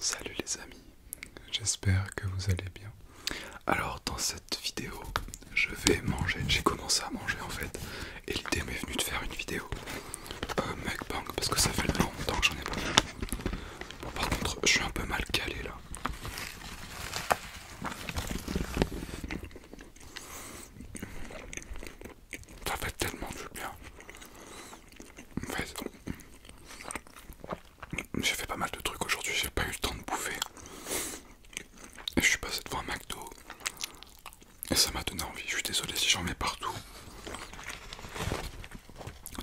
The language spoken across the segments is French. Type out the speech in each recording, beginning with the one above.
Salut les amis, j'espère que vous allez bien. Alors dans cette vidéo, je vais manger, j'ai commencé à manger en fait, et l'idée m'est venue de faire une vidéo euh, mukbang parce que ça fait longtemps que j'en ai pas Bon par contre, je suis un peu mal calé là. Ça fait tellement du bien. J'ai fait pas mal de trucs aujourd'hui, j'ai pas eu le temps de bouffer. Et je suis passé devant un McDo. Et ça m'a donné envie. Je suis désolé si j'en mets partout.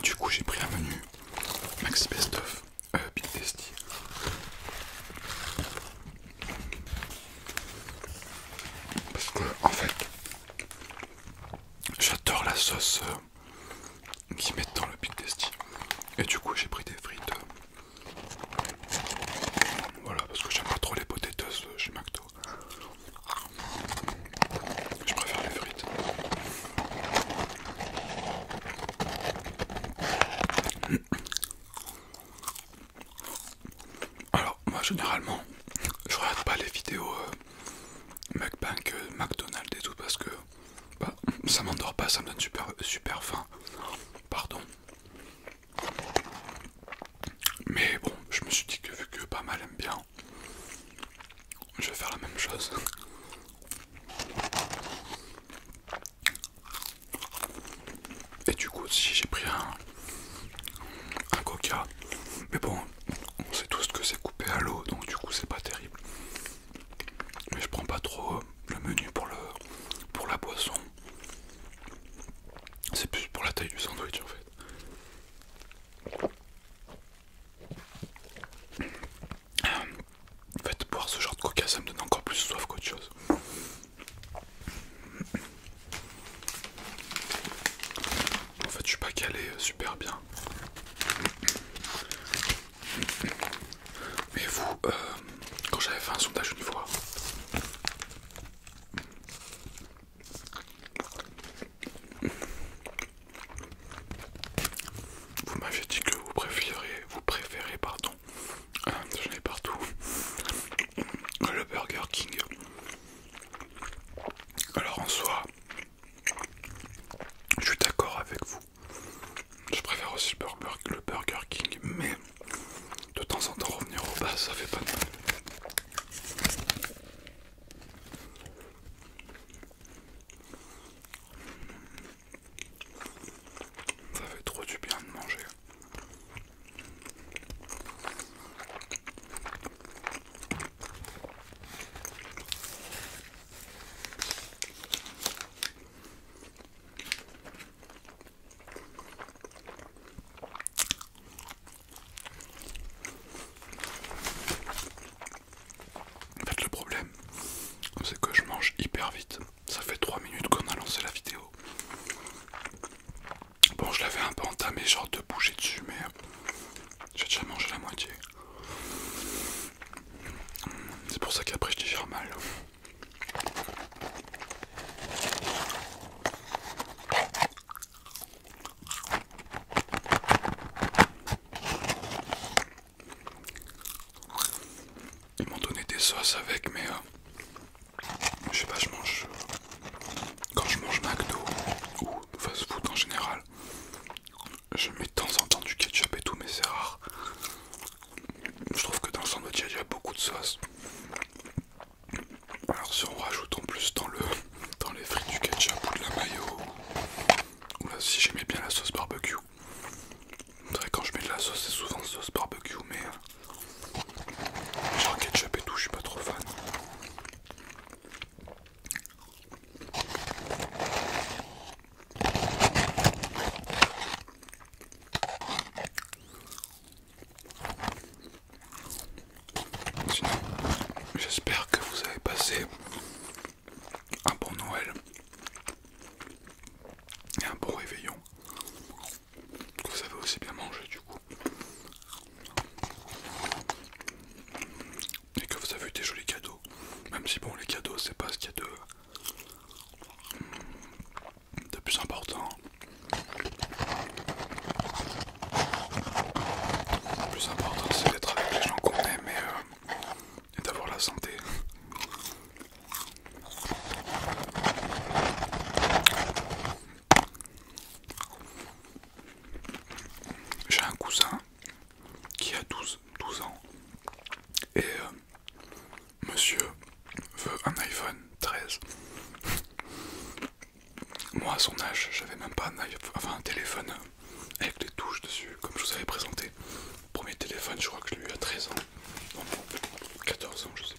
Du coup, j'ai pris un menu Maxi Best of euh, Big Parce que, en fait, J'adore la sauce qui euh, qu'ils mettent dans le Big Tasty. Et du coup, j'ai pris des frites. Euh, voilà, parce que j'aime pas trop les potatoes euh, chez McDo. Je préfère les frites. Alors, moi généralement je regarde pas les vidéos euh, McBank, euh, McDonald's et tout parce que bah, ça m'endort pas, ça me donne super super faim. Pardon. Mais bon, je me suis dit que vu que pas mal aime bien, je vais faire la même chose. Et du coup, si j'ai pris un, un coca. Mais bon, on sait tous que c'est coupé à l'eau, donc du coup c'est pas terrible. Mais je prends pas trop euh, le menu pour le pour la boisson. C'est plus pour la taille du sandwich en fait. En fait, boire ce genre de coca, ça me donne encore plus soif qu'autre chose. En fait, je suis pas calé euh, super bien. Mais vous, euh, quand j'avais fait un sondage une fois, vous m'aviez dit que vous préférez, vous préférez, pardon, j'en partout, le Burger King. Alors en soi, je suis d'accord avec vous. Je préfère aussi le Burger, King, mais de temps en temps revenir au bas, ça fait pas mal. Ça fait trop du bien de manger. En fait, le problème, c'est que je mange hyper vite. Ça fait 3 minutes qu'on a lancé la vidéo. Bon, je l'avais un peu entamé, genre de bouger dessus, mais euh, j'ai déjà mangé la moitié. C'est pour ça qu'après je digère mal. Ils m'ont donné des sauces avec, mais euh, je sais pas, je mange. Euh, quand je mange McDo ou fast food en général, je mets de temps en temps du ketchup et tout, mais c'est rare. Je trouve que dans le sandwich il y a beaucoup de sauce. Alors, si on rajoute en plus dans, le, dans les frites du ketchup ou de la mayo, ou si j'aimais bien la sauce barbecue, c'est vrai quand je mets de la sauce, c'est souvent sauce barbecue, mais euh, Genre ketchup et tout, je suis pas trop fan. J'espère que vous avez passé un bon Noël et un bon réveillon que vous avez aussi bien mangé du coup et que vous avez eu des jolis cadeaux même si bon les cadeaux c'est pas ce qu'il y a de, de plus important le plus important c'est d'être avec les gens qu'on aime et euh, d'avoir la santé j'ai un cousin qui a 12, ans et euh, monsieur veut un iPhone 13. Moi à son âge, j'avais même pas un, iPhone, enfin, un téléphone avec des touches dessus, comme je vous avais présenté. Premier téléphone, je crois que je l'ai eu à 13 ans. 14 ans, sais plus.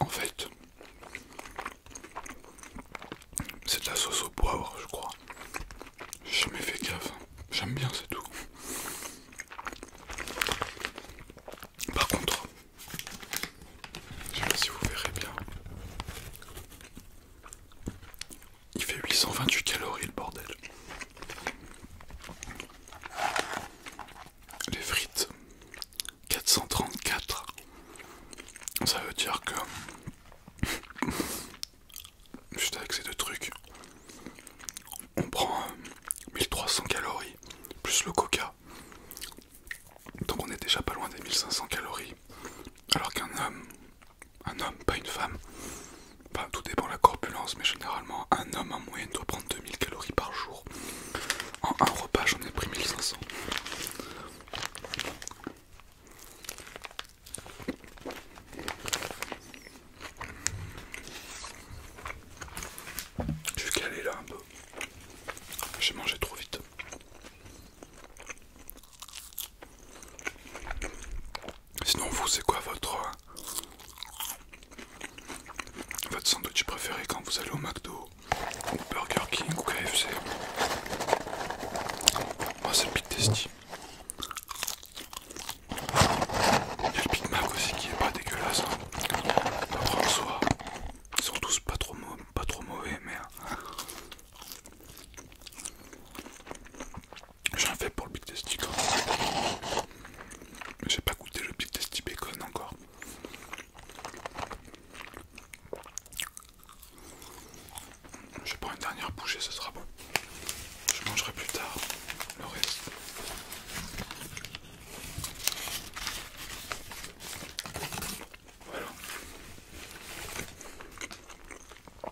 En fait, c'est de la sauce au poivre, je crois. J'ai jamais fait gaffe. J'aime bien, c'est tout. Par contre, je sais pas si vous verrez bien. Il fait 828 calories le bordel. Les frites 434. Ça veut dire que juste avec ces deux trucs, on prend 1300 euh, calories plus le coca. Donc on est déjà pas loin des 1500 calories. Alors qu'un homme, un homme, pas une femme, tout dépend de la corpulence, mais généralement, un homme en moyenne doit prendre 2000 calories par jour. En un repas, j'en ai pris 1500. Je suis calé là un peu. J'ai mangé trop vite. Sinon, vous, c'est quoi votre, euh, votre sandwich préféré quand vous allez au McDo ou Burger King ou KFC Moi, c'est le Big Tasty. Il y a le Big Mac aussi qui est pas dégueulasse. Hein. Après, en soi, ils sont tous pas trop mauvais, mais. Euh, J'en fais pour le Big Tasty J'ai pas goûté le Big Tasty Bacon encore. Je prends une dernière bouchée, ce sera bon. Je mangerai plus tard le reste. Voilà.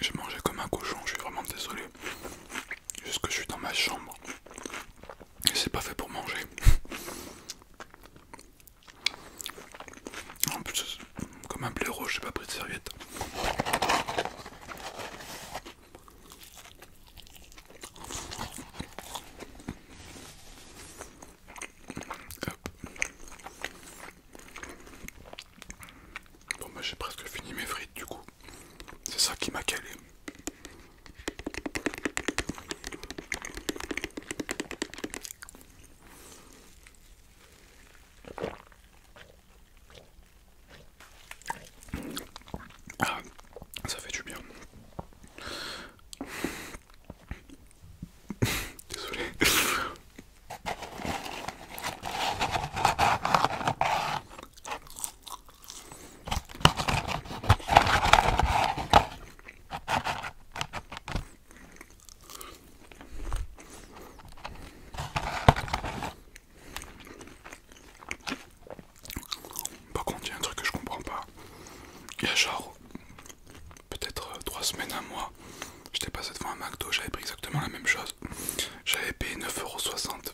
J'ai mangé comme un cochon, je suis vraiment désolé. Jusque que je suis dans ma chambre. Et c'est pas fait pour manger. En plus, comme un blaireau, j'ai pas pris de serviette. Bon bah, j'ai presque fini mes frites du coup. C'est ça qui m'a calé. Ah, ça fait du bien. Désolé. Par contre, il y a un truc que je comprends pas. Il y a genre peut-être euh, trois semaines, un mois, j'étais passé devant un McDo, j'avais pris exactement la même chose. J'avais payé 9,60€.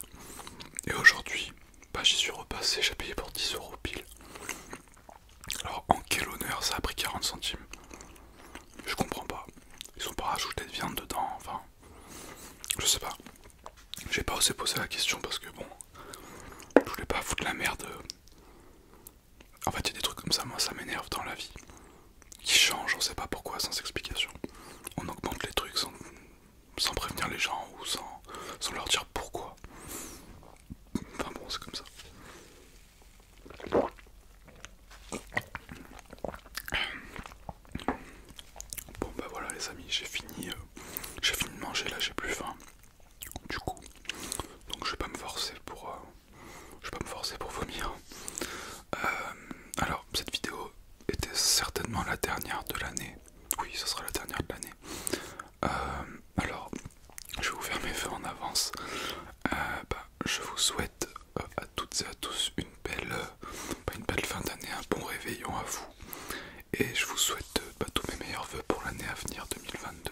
Et aujourd'hui, bah, j'y suis repassé, j'ai payé pour 10€ pile. Alors en quel honneur ça a pris 40 centimes Je comprends pas. Ils ont pas rajouté de viande dedans, enfin. Je sais pas. J'ai pas osé poser la question parce que bon. Je voulais pas foutre la merde euh, en fait, il y a des trucs comme ça, moi ça m'énerve dans la vie. Qui changent, on sait pas pourquoi, sans explication. On augmente les trucs sans, prévenir les gens ou sans, leur dire pourquoi. Enfin bon, c'est comme ça. Bon bah voilà les amis, j'ai fini, euh, j'ai fini de manger là, j'ai plus faim du coup donc je vais pas me forcer pour euh, je vais pas me forcer pour vomir euh, alors cette vidéo était certainement la dernière de l'année oui ce sera la dernière de l'année euh, alors je vais vous faire mes vœux en avance bah, je vous souhaite à toutes et à tous une belle bah, une belle fin d'année un bon réveillon à vous et je vous souhaite bah, tous mes meilleurs vœux pour l'année à venir 2022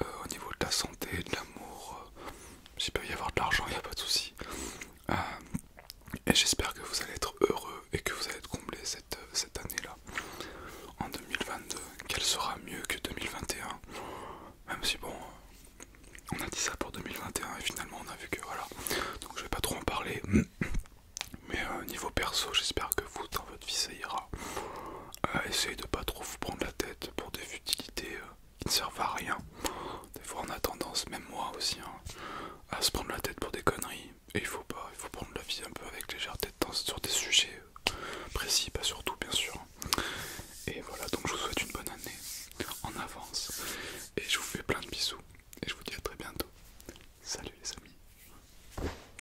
euh, au niveau de la santé, de l'amour, euh, s'il peut y avoir de l'argent, il n'y a pas de souci. Euh, et j'espère que vous allez être heureux et que vous allez être comblé cette, cette année-là. En 2022, qu'elle sera mieux que 2021. Même si bon, on a dit ça pour 2021 et finalement on a vu que voilà. Donc je vais pas trop en parler. Mais niveau perso, j'espère que vous, dans vie ça ira. Euh, essayez de pas trop vous prendre la tête pour des futilités euh, qui ne servent à rien. Des fois on a tendance, même moi aussi, hein, à se prendre la tête pour des conneries. Et il faut pas, il faut prendre la vie un peu avec légèreté tête sur des sujets euh, précis, pas surtout bien sûr. Et voilà, donc je vous souhaite une bonne année en avance. Et je vous fais plein de bisous. Et je vous dis à très bientôt. Salut les amis.